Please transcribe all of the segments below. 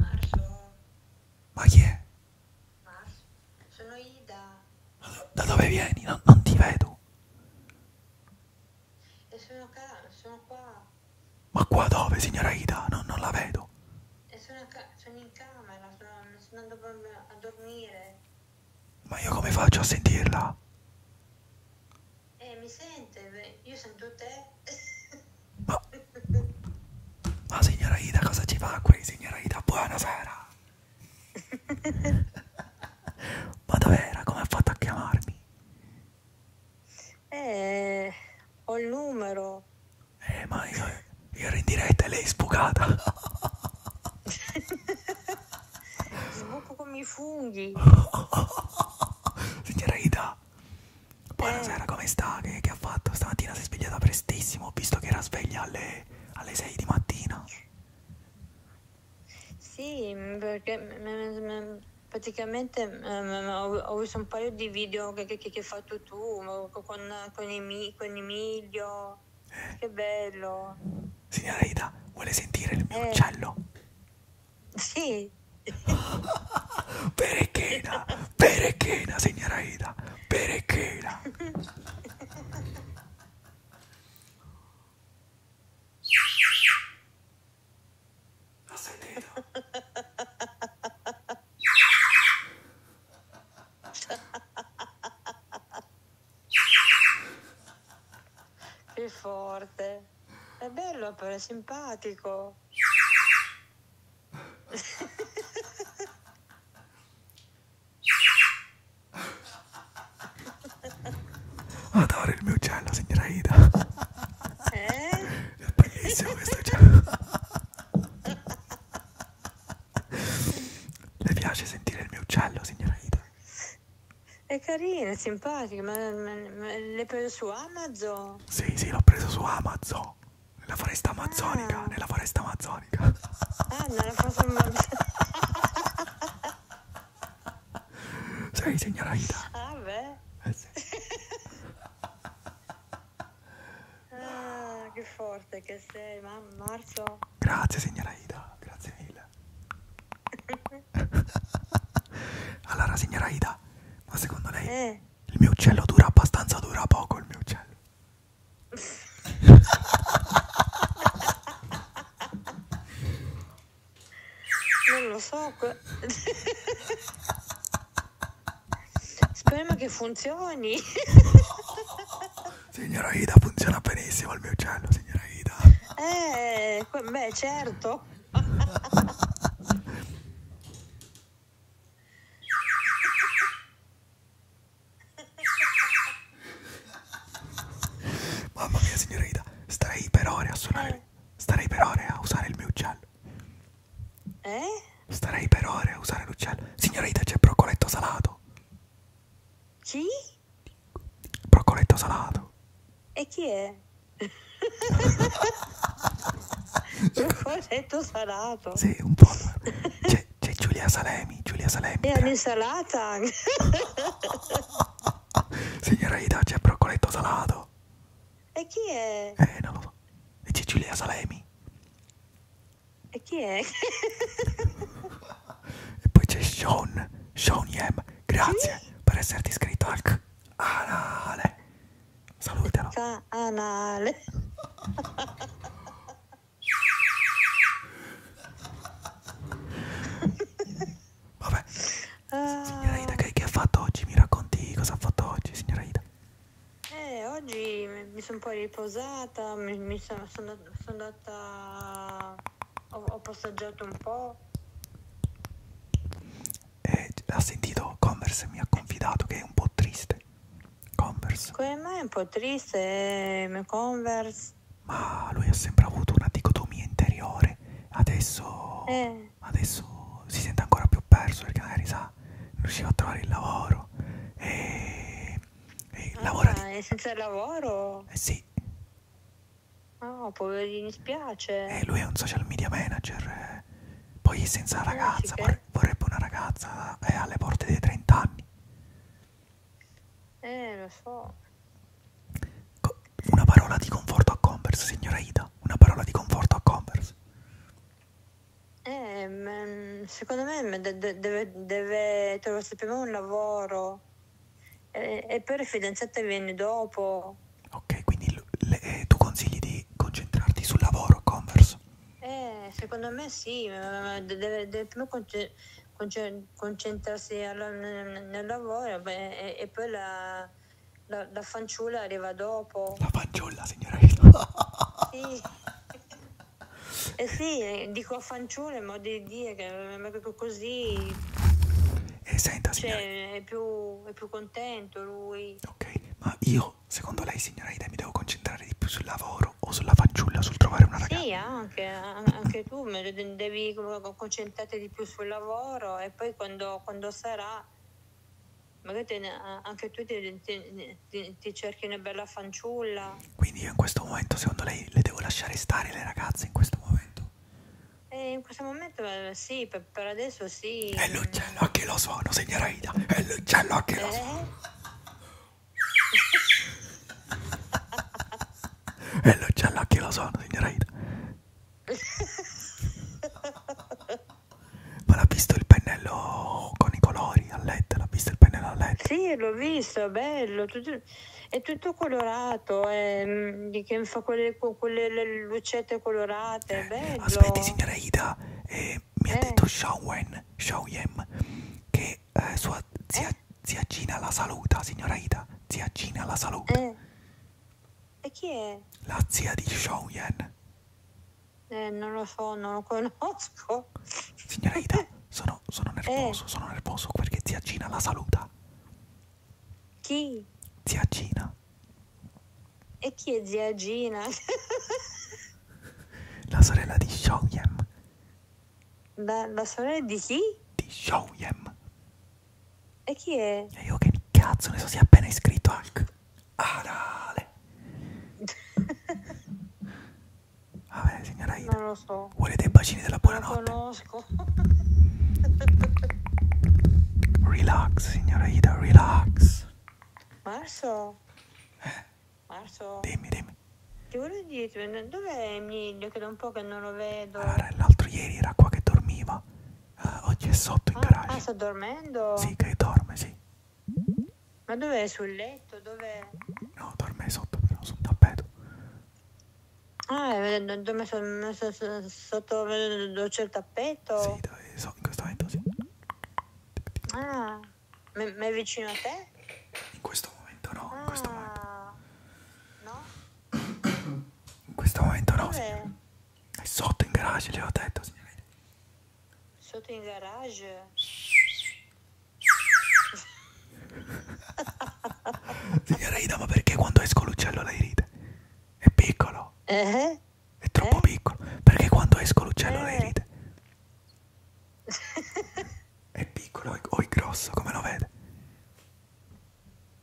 Marzo. Ma chi è? Marzo. Sono Ida. Ma da dove vieni? Non, non ti vedo. E sono, ca sono qua. Ma qua dove, signora Ida? No, non la vedo. E sono, sono in camera, sono, sono andato a dormire. Ma io come faccio a sentirla? Eh, mi sente, io sento te. Ma, ma signora Ida, cosa ci fa qui, signora Ida? Buonasera. ma dov'era? Come ha fatto a chiamarmi? Eh, ho il numero. Eh, ma io, io ero in diretta e lei è sbucata. Sbuco come i funghi. Signora Ida, buonasera, come sta? Che, che ha fatto? Stamattina si è svegliata prestissimo, ho visto che era sveglia alle, alle 6 di mattina. Sì, perché praticamente ho visto un paio di video che, che, che hai fatto tu con, con, Emilio, con Emilio. Eh. Che bello. Signora Ida, vuole sentire il mio eh. uccello? Sì. Perechena, perechena, signora Ida, perechena. Ha sentito? Che forte piace. È bello, però è simpatico. Adoro il mio uccello, signora Ida. Eh? È bellissimo questo uccello. Le piace sentire il mio uccello, signora Ida? È carina, è simpatica, ma, ma, ma l'hai preso su Amazon? Sì, sì, l'ho preso su Amazon. Nella foresta amazzonica, ah. nella foresta amazzonica. Ah, nella foresta amazzonica. Sai, signora Ida. Ah, beh. Eh, sì. ah, che forte che sei, ma marzo. Grazie, signora Ida, grazie mille. allora signora Ida, ma secondo lei eh. il mio uccello dura abbastanza, dura poco il mio uccello? non lo so. Speriamo che funzioni. signora Ida, funziona benissimo il mio uccello, signora Ida. Eh, beh, certo. Mamma mia signora Ida, starei per ore a suonare, starei per ore a usare il mio uccello. Eh? Starei per ore a usare l'uccello. Signora Ida c'è broccoletto salato. Sì? Broccoletto salato. E chi è? Corretto salato. Sì, un po'. C'è, c'è Giulia Salemi, Giulia Salemi. E un'insalata. Signora Ida, c'è Procoletto Salato. E chi è? Eh, non lo so. E c'è Giulia Salemi. E chi è? e poi c'è Sean, Sean Yem. Grazie sì? per esserti iscritto al anale. Salutalo. Anale. Vabbè. Signora Ida, che, che ha fatto oggi? Mi racconti cosa ha fatto oggi, signora Ida? Eh, oggi mi sono poi riposata, mi, mi sono, sono, sono andata... Ho, ho passeggiato un po' eh, ha sentito Converse e mi ha confidato che è un po' triste. Converse. Come mai è un po' triste eh, Converse? Ma lui ha sempre avuto una dicotomia interiore. Adesso, eh. adesso si sente ancora più perso perché magari sa, non riusciva a trovare il lavoro. E, e ah, lavora di... È senza lavoro? Eh sì. No, poverino, spiace. Eh, lui è un social media manager. Eh. Poi senza ragazza, vorre- vorrebbe una ragazza, è eh, alle porte dei 30 anni. Eh, lo so. Una parola di conforto a Converse, signora Ida. Una parola di conforto a Converse. Eh, mm, secondo me deve, deve, deve trovare prima un lavoro eh, e poi la fidanzata viene dopo. Ok, quindi le, eh, tu consigli di concentrarti sul lavoro, Converse? Eh, secondo me sì, eh, deve, deve più conce, conce, concentrarsi al, nel, nel, lavoro beh, e, e, poi la, la, la, fanciulla arriva dopo. La fanciulla, signora Sì. Eh sì, dico fanciulle, ma di dire che eh, così... E senta, signora... Cioè, è più, è più contento lui. Ok, ma io, secondo lei, signora Ida, mi devo concentrare di più sul lavoro o sulla fanciulla, sul trovare una ragazza? Sì, anche, anche tu devi concentrarti di più sul lavoro e poi quando, quando sarà, magari te, anche tu ti, ti, ti, ti, cerchi una bella fanciulla. Quindi io in questo momento, secondo lei, le devo lasciare stare le ragazze in questo momento? Eh, in questo momento eh, sì, per, per, adesso sì. È l'uccello che lo suono, signora Ida. È l'uccello che eh? lo suono. è l'uccello che lo suono, signora Ida. Ma l'ha visto il pennello con i colori a LED? L'ha visto il pennello a LED? Sì, l'ho visto, è bello. Tutto, è tutto colorato. È, mm, che, che fa quelle, quelle lucette colorate. Eh, bello. Aspetti, signora Ida, eh, mi eh. ha detto Shawen, Shawem che eh, sua zia, eh. zia Gina la saluta, signora Ida. Zia Gina la saluta. Eh. E chi è? La zia di Shawyen. Eh, non lo so, non lo conosco. Signora Ida, sono, sono nervoso, eh. sono nervoso perché zia Gina la saluta. Chi? Zia Gina. E chi è zia Gina? la sorella di Shoyem. La, la, sorella di chi? Di Shoyem. E chi è? E io che cazzo ne so, si è appena iscritto al canale. Vabbè, signora Ida. Non lo so. Vuole dei bacini della buonanotte? Non lo conosco. Relax, signora Ida, relax. Marzo? Eh? Marzo? Dimmi, dimmi. Ti volevo dire, dov'è Emilio? Che da un po' che non lo vedo. Allora, ah, l'altro ieri era qua che dormiva. Uh, oggi è sotto in ah, garage. Ah, sta dormendo? Sì, che dorme, sì. Ma dov'è? Sul letto? Dov'è? No, dorme sotto, però sul tappeto. Ah, eh, dorme sotto, sotto, sotto, sotto il tappeto momento? Sì, dove sono in questo momento, sì. Ah, ma è vicino a te? In questo momento no, ah, in questo momento. No? In questo momento no, signore. È sotto in garage, le ho detto, signore. Sotto in garage? Signora Ida, ma perché quando esco l'uccello lei ride? È piccolo. Eh? È troppo eh? piccolo. Perché quando esco l'uccello eh? ride. è piccolo o è grosso, come lo vede?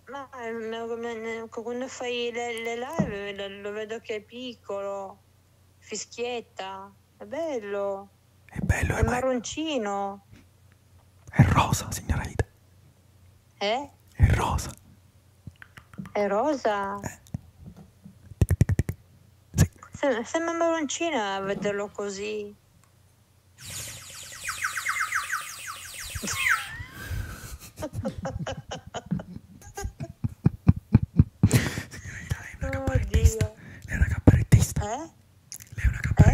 Ma eh, quando fai le, le live lo vedo che è piccolo, fischietta, è bello. È bello, è, è marroncino. È rosa, signora Ida. Eh? È rosa. È rosa? Eh. Sì. Sembra, sembra Moroncina a vederlo così. Oddio. Oh, Lei è una cabarettista. Eh? Lei è una cabarettista.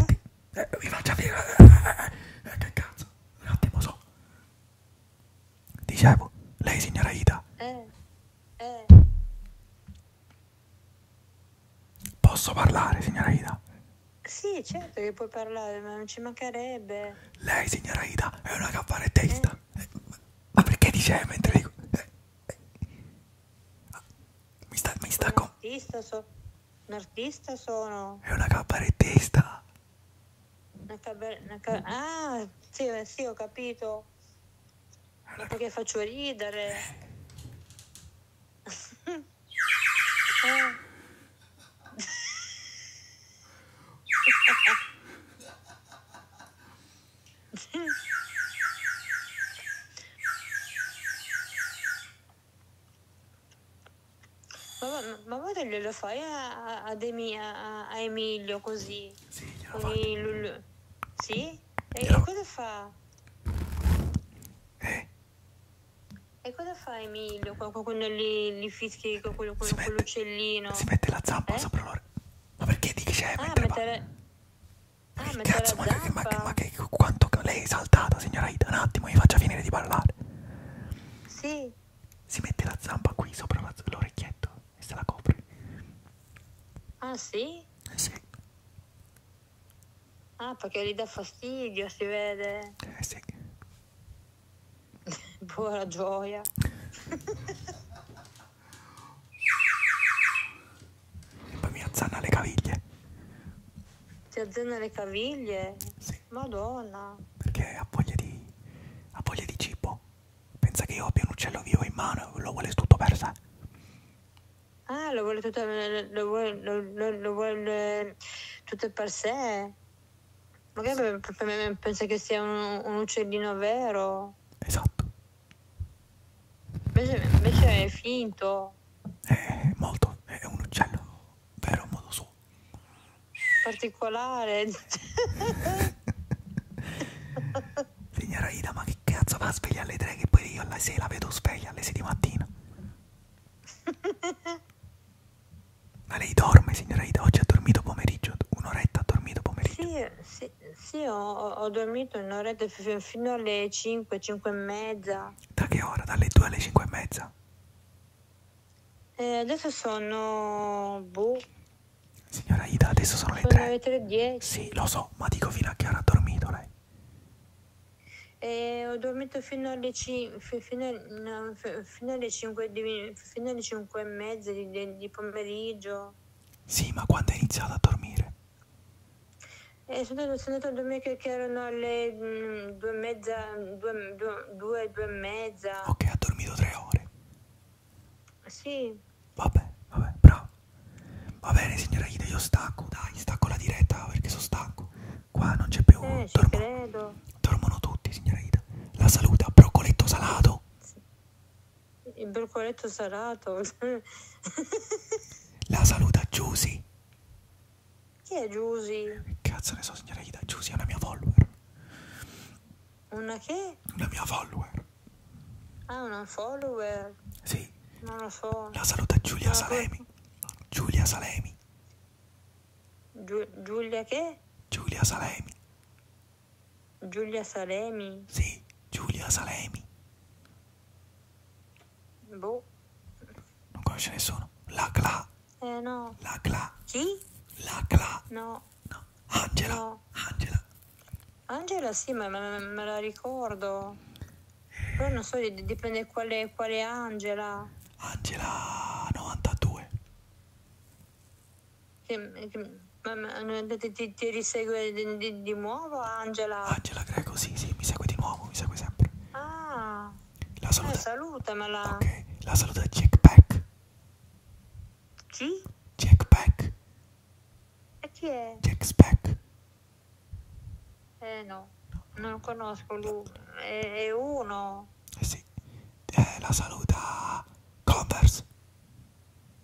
Eh? Eh, mi faccia vedere. Eh, eh, eh, eh, che cazzo? Un attimo so. Dicevo, lei signora Ida. Eh, eh. Posso parlare signora Ida? Sì, certo che puoi parlare, ma non ci mancherebbe. Lei signora Ida è una cabarettista. Eh. Ma perché dice mentre dico... Eh, eh. Mi sta... Mi sta un, artista so, un artista sono. È una cabarettista. Una caber- una ca- ah, sì, eh, sì, ho capito. Ma perché faccio ridere? eh. Mamma, mamma glielo fai a, a, Demi, a, a Emilio così? Sì, glielo fai. Il... Sì? E, glielo... e cosa fa? Eh? E cosa fa Emilio quando gli, gli fischi con, quello, quello, mette, quell'uccellino? Si mette la zappa eh? sopra l'orecchio. Ma perché ti dice eh, ah, mettere... Ah, mettere... Ah, che cazzo, ma che, ma, che, ma che quanto lei è saltata, signora Ida, un attimo, mi faccia finire di parlare. Sì si mette la zampa qui sopra l'orecchietto e se la copre. Ah sì? Eh, sì. Ah, perché gli dà fastidio, si vede. Eh sì. Buona gioia. e poi mi azzanna le caviglie. Ti azzanna le caviglie? Sì. Madonna perché ha voglia di, ha voglia di cibo. Pensa che io abbia un uccello vivo in mano, lo vuole tutto per sé. Ah, lo vuole tutto, lo vuole, lo, lo, lo vuole tutto per sé. Magari sì. pensa che sia un, un, uccellino vero. Esatto. Invece, invece è finto. È molto, è un uccello, vero a modo suo particolare. Signora Ida, ma che cazzo va a svegliare alle tre che poi io alla sera la vedo sveglia alle 6 di mattina? Ma lei dorme, signora Ida? Oggi ha dormito pomeriggio, un'oretta ha dormito pomeriggio? Sì, sì, sì ho, ho, dormito un'oretta fino alle 5, 5 e mezza. Da che ora? Dalle 2 alle 5 e mezza? Eh, adesso sono... Boh. Signora Ida, adesso sono, sono le 3. Le 3.10. Sì, lo so, ma dico fino a che ora ha dormito lei. Eh, ho dormito fino alle, 5, fino, no, fino alle 5 di, fino alle 5 e mezza di, di, pomeriggio. Sì, ma quando è iniziato a dormire? Eh, sono, sono andato a dormire che, erano le 2 mm, e mezza, 2 e 2 e mezza. Ok, ha dormito tre ore. Sì. Vabbè, vabbè, bravo. Va bene signora Ida, io stacco, dai, stacco la diretta perché sono stanco. Qua non c'è più... Eh, dormo... credo. Dormono tutti, signora Ida. La saluta, broccoletto salato. Sì. Il broccoletto salato. la saluta Giusy. Chi è Giusy? Che cazzo ne so, signora Ida? Giusy è una mia follower. Una che? Una mia follower. Ah, una follower? Sì. Non lo so. La saluta Giulia no, Salemi. Giulia Salemi. Giu- Giulia che? Giulia Salemi. Giulia Salemi? Sì, Giulia Salemi. Boh. Non conosce nessuno. La Cla eh no. La Cla. Chi? La Cla. No. No. Angela. No. Angela. Angela sì, ma me, me la ricordo. Però non so, dipende quale, quale Angela. Angela 92. Che, che, ma, ma ti, ti, ti risegue di, di, di, nuovo Angela? Angela Greco, sì, sì, mi segue di nuovo, mi segue sempre. Ah. La saluta. Eh, salutamela. Ok, la saluta Jack Pack. G? Jack Black. E chi è? Jack Speck. Eh no, non lo conosco lui. È, è uno. Eh sì. Eh, la saluta Converse.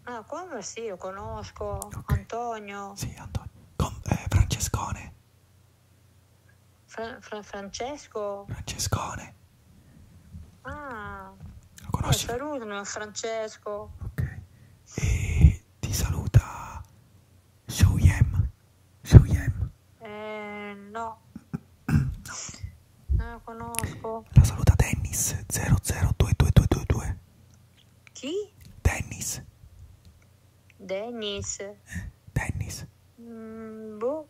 Ah, Converse sì, lo conosco. Okay. Antonio. Sì, Antonio. Con, eh, Francescone. Fra, fra, Francesco? Francescone. Ah, lo conosci? Eh, salutano Francesco. Ok. E ti saluta Shouyem. Shouyem. Eh, no. no. Non lo conosco. La saluta Dennis 002222. Chi? Dennis. Dennis. Eh, Dennis. Mm, boh. Carlo?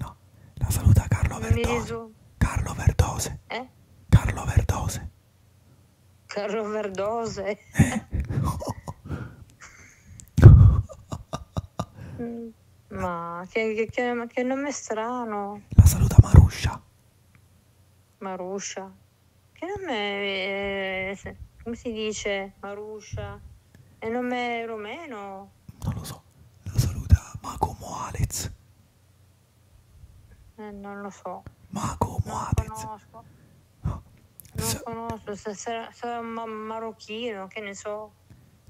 No, la saluta Carlo Verdose. Carlo Verdose. Eh? Carlo Verdose. Carlo Verdose. Eh. Mm, ma che, che, che, che, nome strano. La saluta Maruscia. Maruscia. Che nome è, eh, come si dice Maruscia? È nome rumeno non lo so, lo saluta Macomo Alex. Eh, non lo so. Macomo Alex. Conosco. No. Non Sa- conosco, se sarà, sarà ma- marocchino, che ne so.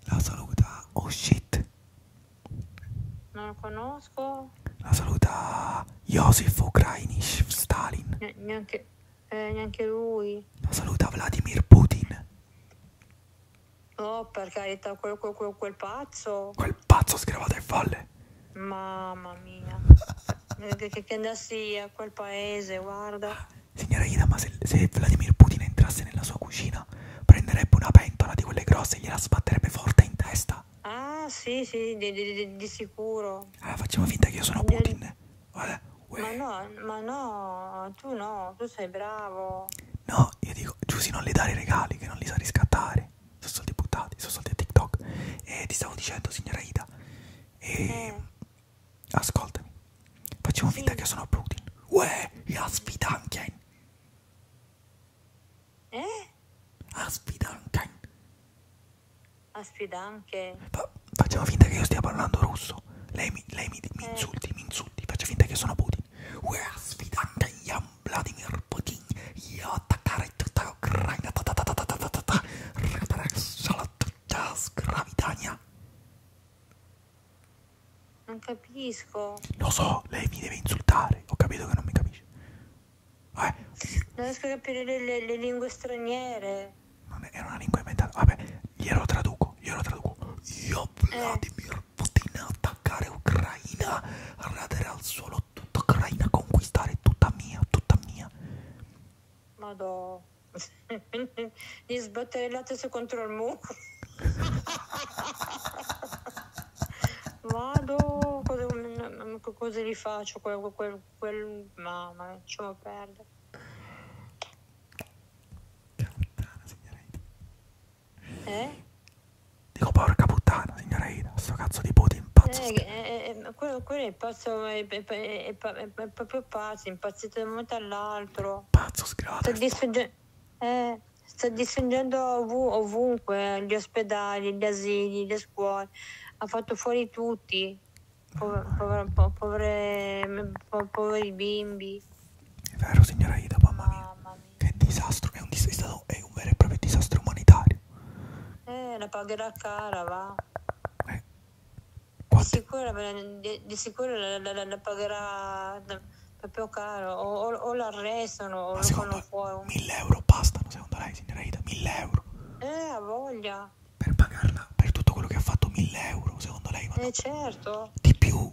La saluta Oh shit. Non lo conosco. La saluta Josef Ukrainish Stalin. Ne- neanche, eh, neanche lui. La saluta Vladimir Putin. No, per carità, quel, quel, quel, quel pazzo. Quel pazzo sgravato ai falle. Mamma mia. che, che, che andassi a quel paese, guarda. Signora Ida, ma se, se, Vladimir Putin entrasse nella sua cucina, prenderebbe una pentola di quelle grosse e gliela sbatterebbe forte in testa. Ah, sì, sì, di, di, di sicuro. Allora facciamo finta che io sono Putin. Guarda, ma no, ma no, tu no, tu sei bravo. No, io dico, Giussi non le dare i regali, che non li sa riscattare. Sono soldi buttati, sono soldi a TikTok. E ti stavo dicendo, signora Ida, e... Mm. ascoltami, facciamo finta sì. che sono Putin. Uè, la sfidanken. Eh? Asfidanken. Asfidanken. Fa facciamo finta che io stia parlando russo. Lei mi, lei mi, mi eh. insulti, eh. mi insulti, faccio finta che sono Putin. Where's Vidante Jan Vladimir Putin? Io attaccare tutta Ucraina. Solo tutta sgravitania. Non capisco. Lo so, lei mi deve insultare. Ho capito che non mi capisce. Vabbè. Eh. Non riesco a capire le, le, le lingue straniere. Non è, era una lingua inventata. Vabbè, glielo traduco. Glielo traduco. Io eh. Vladimir per Putin attaccare Ucraina, radere al suolo tutta Ucraina, conquistare tutta mia, tutta mia. Madò, gli sbatterellate su contro il muro. Vado, cosa, cosa li faccio? Quel, quel, quel, mamma, ci vuole perdere. Cantana, signorina. Eh? Dico porca puttana, signora Ida, sto cazzo di Putin pazzo. Eh, eh, eh, eh, quello, quello, è pazzo, è, è, è, è proprio pazzo, impazzito da un momento all'altro. Pazzo sgrato. Eh, sta distruggendo ov- ovunque, gli ospedali, gli asili, le scuole, ha fatto fuori tutti, Pover- pover- po- povere- po- poveri bimbi. È vero signora Ida, mamma mia. Mamma che disastro, è un, dis- è, stato, è un vero e proprio disastro umanitario. Eh, la pagherà cara, va. Eh. Di sicuro, di, di sicuro la, la, la, la, pagherà proprio caro, o, o, o l'arrestano o Ma lo fanno fuori. 1000 euro bastano, secondo lei, signora Ida? 1000 euro. Eh, ha voglia. Per pagarla, per tutto quello che ha fatto, 1000 euro, secondo lei? Vanno... Eh, certo. Di più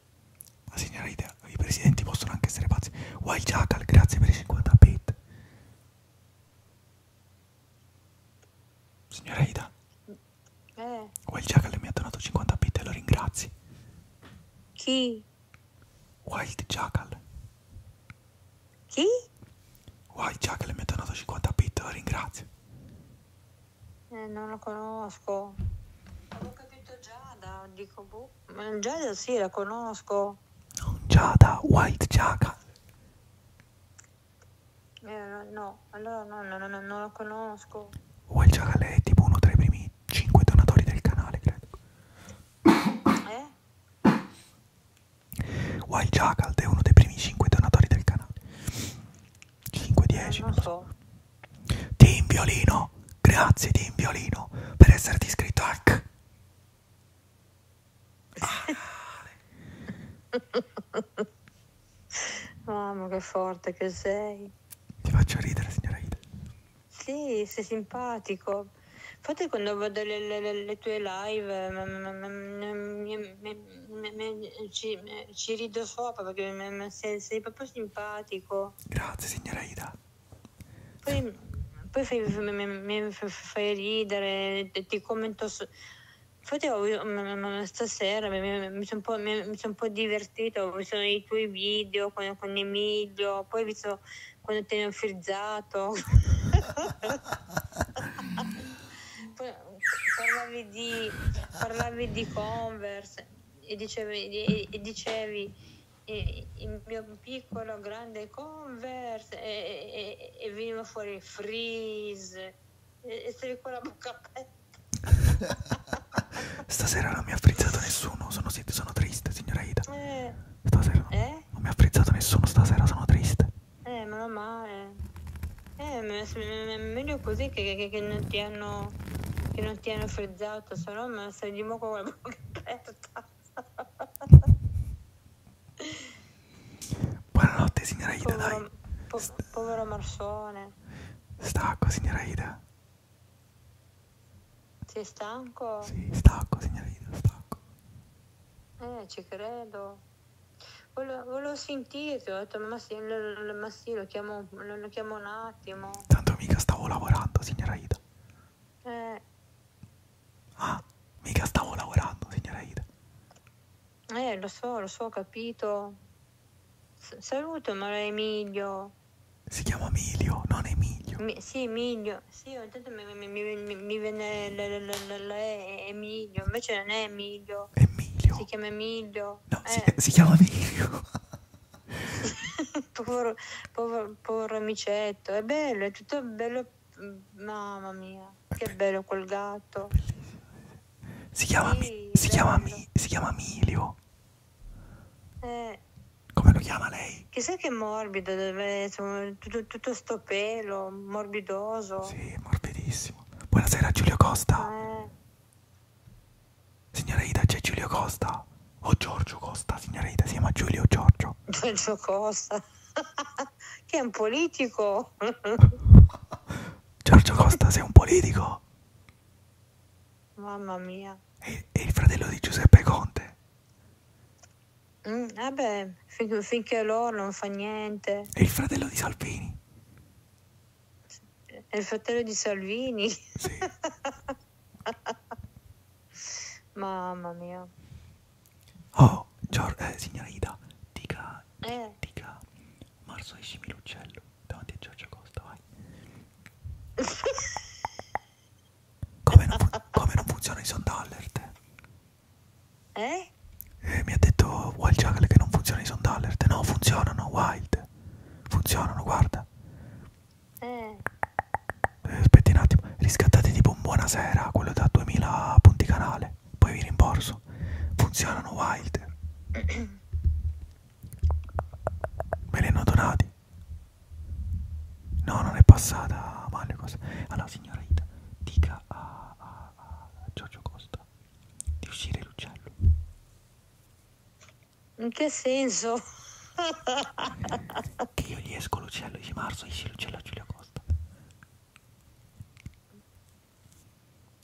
Sì. Ma signora Ida, i presidenti possono anche essere pazzi. Wild Jackal, grazie per i 50 bit. Signora Ida. Eh. Wild Jackal mi ha donato 50 bit e lo ringrazi. Chi? Wild Jackal. Chi? Wild Jackal mi ha donato 50 bit, lo ringrazio. Eh, non lo conosco. Avevo capito già, da, dico boh. Giada sì, la conosco. Non Giada, White Giaga. Eh, no, allora no, no, no, non la conosco. White Giaga lei è tipo uno tra i primi 5 donatori del canale, credo. Eh? White Jackal è uno dei primi 5 donatori del canale. 5-10. Eh, non, non so. so. Team Violino, grazie Team Violino per esserti iscritto a... Ale. Mamma che forte che sei. Ti faccio ridere signora Ida. Sì, sei simpatico. Infatti quando vedo le, le, le tue live ci, ci rido sopra perché sei, sei proprio simpatico. Grazie signora Ida. Poi, poi fai, mi, fai ridere, ti commento. Su... Infatti ho, stasera mi, mi sono un, son un po', divertito, ho visto i tuoi video con, con Emilio, poi ho visto quando ti hanno frizzato. parlavi, di, parlavi di Converse e dicevi, e, e dicevi e il mio piccolo grande Converse e, e, e veniva fuori freeze e, e stavi con la bocca aperta stasera non mi ha frizzato nessuno sono, sono triste signora Ida eh, stasera eh? non mi ha frizzato nessuno stasera sono triste eh meno male eh meglio così che, che, che non ti hanno che non ti hanno frizzato Esatto, selam mesajıma koyarım. Buonanotte signora Ida, povero, dai. Po povero Marsone. Stacco signora Ida. Sei stanco? Sì, stacco signora Ida, stacco. Eh, ci credo. Volevo, volevo sentirti, ho detto ma sì, ma sì lo, chiamo, lo, lo chiamo un attimo. Tanto mica stavo lavorando signora Ida. Eh. Ah, mica stavo lavorando, signora Ida. Eh, lo so, lo so, ho capito. S- saluto, ma Emilio. Si chiama Emilio, non Emilio. Mi, sì, Emilio. Sì, ho detto mi, mi, mi, mi viene l- l- l- Emilio, invece non è Emilio. Emilio. Si chiama Emilio. No, eh. si, si chiama Emilio. povero, povero, povero amicetto, è bello, è tutto bello, mamma mia, che bello quel gatto. Si chiama, sì, si chiama, si chiama Emilio. Eh. Come lo chiama lei? Chissà che morbido deve essere, tutto, tutto sto pelo, morbidoso. Sì, morbidissimo. Buonasera Giulio Costa. Eh. Signora Ida, c'è Giulio Costa. O oh, Giorgio Costa, signora Ida, si chiama Giulio Giorgio. Giorgio Costa, che è un politico. Giorgio Costa, sei un politico. Mamma mia. E, e il fratello di Giuseppe Conte. Mm, vabbè, fin, finché loro non fa niente. E il fratello di Salvini. E il fratello di Salvini. Sì. Mamma mia. Oh, Gior eh, signora Ida, dica, eh. dica, Marzo escimi l'uccello davanti a Giorgio Costa, vai. come, non come non funziona i sound alert? Eh? eh? Mi ha detto Wild Jackal che non funziona i sound alert. No, funzionano, Wild. Funzionano, guarda. Eh. eh, aspetti un attimo, riscattate tipo un buonasera, quello da 2000 punti canale, poi vi rimborso. Funzionano Wilder. Me li hanno donati. No, non è passata male cosa. Allora signora Ita, dica a, a, a Giorgio Costa di uscire l'uccello. In che senso? che io gli esco l'uccello, dice Marzo, esci l'uccello a Giulio Costa.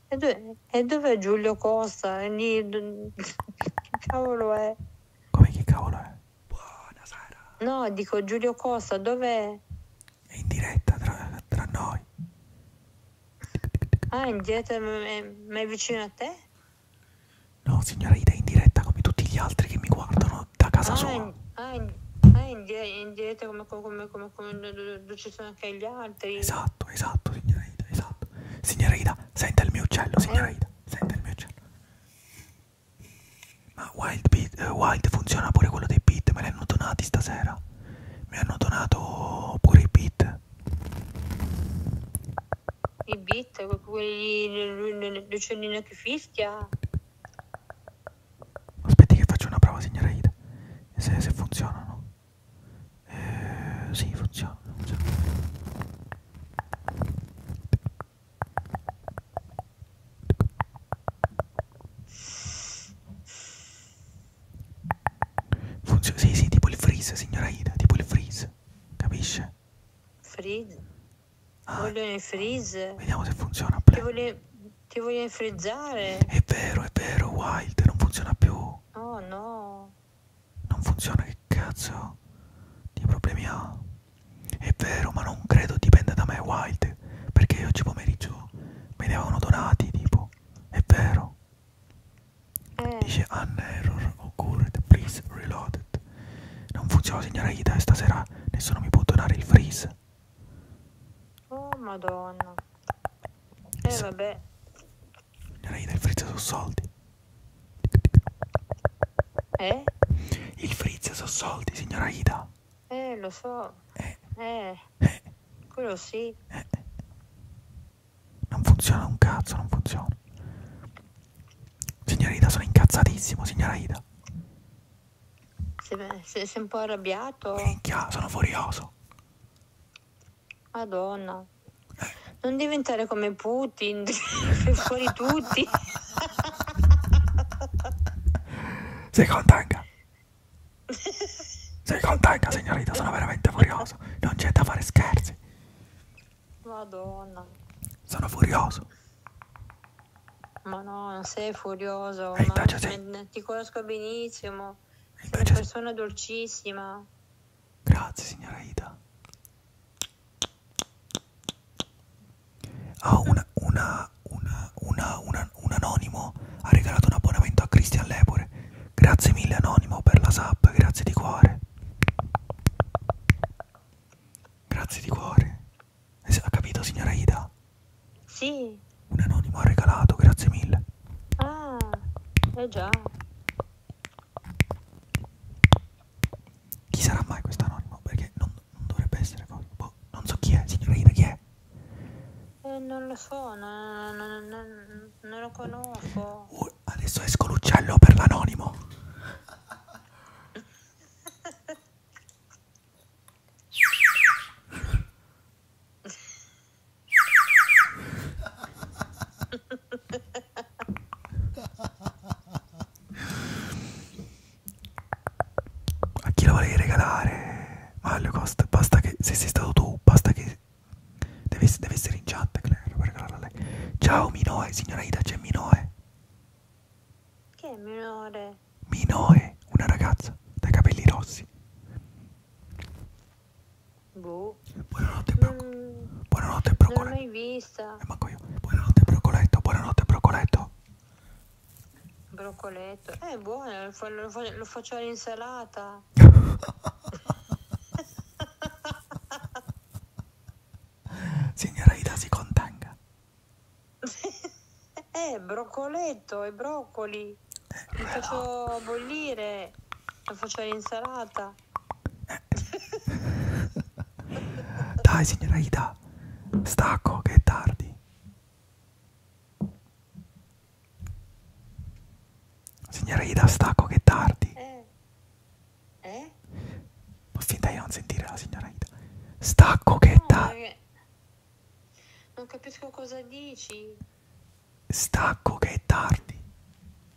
E, dove, e dov'è Giulio Costa? Lì, che cavolo è? Come che cavolo è? Buonasera. No, dico Giulio Costa, dov'è? È in diretta tra, tra noi. Ah, indietro, ma è, ma è vicino a te? No, signora Ida è in diretta come tutti gli altri che mi guardano da casa ah, sua. Ah, in, in diretta come, come, come, come ci sono anche gli altri. Esatto, esatto, signora Ida, esatto. Signora Ida, senta il mio uccello, signora eh? Ida, senta il mio uccello. Ma Wild, beat, uh, wild funziona pure quello dei beat, me li hanno donati stasera. Mi hanno donato pure i beat i beat, quelli l'uccellino che fischia. Aspetti che faccio una prova, signora Ida. Se, se funzionano. Eh, sì, funziona. funziona. Funziona, sì, sì, tipo il freeze, signora Ida, tipo il freeze, capisce? Freeze? Ah, vogliono il freeze. Vediamo se funziona. Ti, vogl- ti vogliono frizzare. È vero, è vero, Wild, non funziona più. Oh no. Non funziona, che cazzo? Che problemi ha? È vero, ma non credo dipenda da me, Wild. Perché oggi pomeriggio me ne avevano donati, tipo. È vero. Eh. Dice an error occurred, please reload it. Ed. Non funziona, signora Ida, e stasera nessuno mi può donare il freeze. Oh, madonna. Eh, S vabbè. Signora Ida, il freeze sono soldi. Eh? Il freeze sono soldi, signora Ida. Eh, lo so. Eh. Eh. eh. Quello sì. Eh. Non funziona un cazzo, non funziona. Signora Ida, sono incazzatissimo, signora Ida. Sei, sei un po' arrabbiato? Minchia, sono furioso. Madonna. Eh. Non diventare come Putin, fuori tutti. Sei contanga? Sei contanga, signorita? Sono veramente furioso. Non c'è da fare scherzi. Madonna. Sono furioso. Ma no, non sei furioso. E invece sì. Ti conosco benissimo. E sei una persona sì. dolcissima. Grazie, signora Ida. Ah, una, una, una, un anonimo ha regalato un abbonamento a Christian Lepore. Grazie mille anonimo per la sub, grazie di cuore. Grazie di cuore. Eh, ha capito, signora Ida? Sì. Un anonimo ha regalato, grazie mille. Ah, eh già. Chi sarà mai questo anonimo? Perché non, non dovrebbe essere così. Boh, non so chi è, signora Ida, chi è? Eh, non lo so, non, non, non, non lo conosco. Uh, adesso esco l'uccello per l'anonimo. A chi la volevi regalare? Mario Costa, basta che se sei stato tu, basta che deve, deve essere in chat, Claire, per regalarla a lei. Ciao Minoe, signora Ida, c'è Minoe. Che è minore? Minoe, una ragazza dai capelli rossi. Boh. Buonanotte, Broco. Mm, buonanotte, Brocoletto. Non l'ho mai vista. Eh, manco io. Buonanotte, Brocoletto. Buonanotte, Brocoletto. Brocoletto. Eh, buono, eh, lo, lo, lo faccio all'insalata. Signora Ida, si contenga. eh, broccoletto e broccoli. Eh, Li faccio bollire, lo faccio l'insalata. Eh. Dai, signora Ida, stacco che è tardi. Signora Ida, stacco che è tardi. Eh. Eh? Ma finta di non sentire la signora Ida. Sta coquetta. No, perché... Non capisco cosa dici. Stacco che è tardi.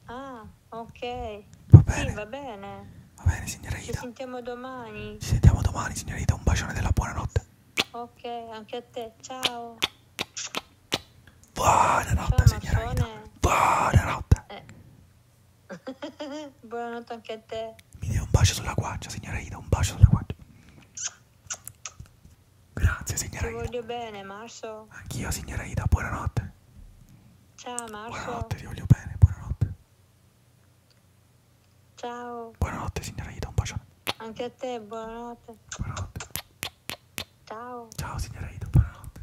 Ah, ok. Va bene. Sì, va bene. Va bene, signora Ida. Ci sentiamo domani. Ci sentiamo domani, signora Ida. Un bacione della buonanotte. Ok, anche a te. Ciao. Buonanotte, Ciao, signora Ida. Buonanotte. Eh. Buonanotte anche a te. Mi dia un bacio sulla guancia, signora Ida, un bacio sulla guancia. Grazie, signora Ti Ida. Ti voglio bene, Marso. Anch'io, signora Ida, buonanotte. Ciao, Marso. Buonanotte, ti voglio bene, buonanotte. Ciao. Buonanotte, signora Ida, un bacio. Anche a te, buonanotte. Buonanotte. Ciao. Ciao, signora Ida, buonanotte.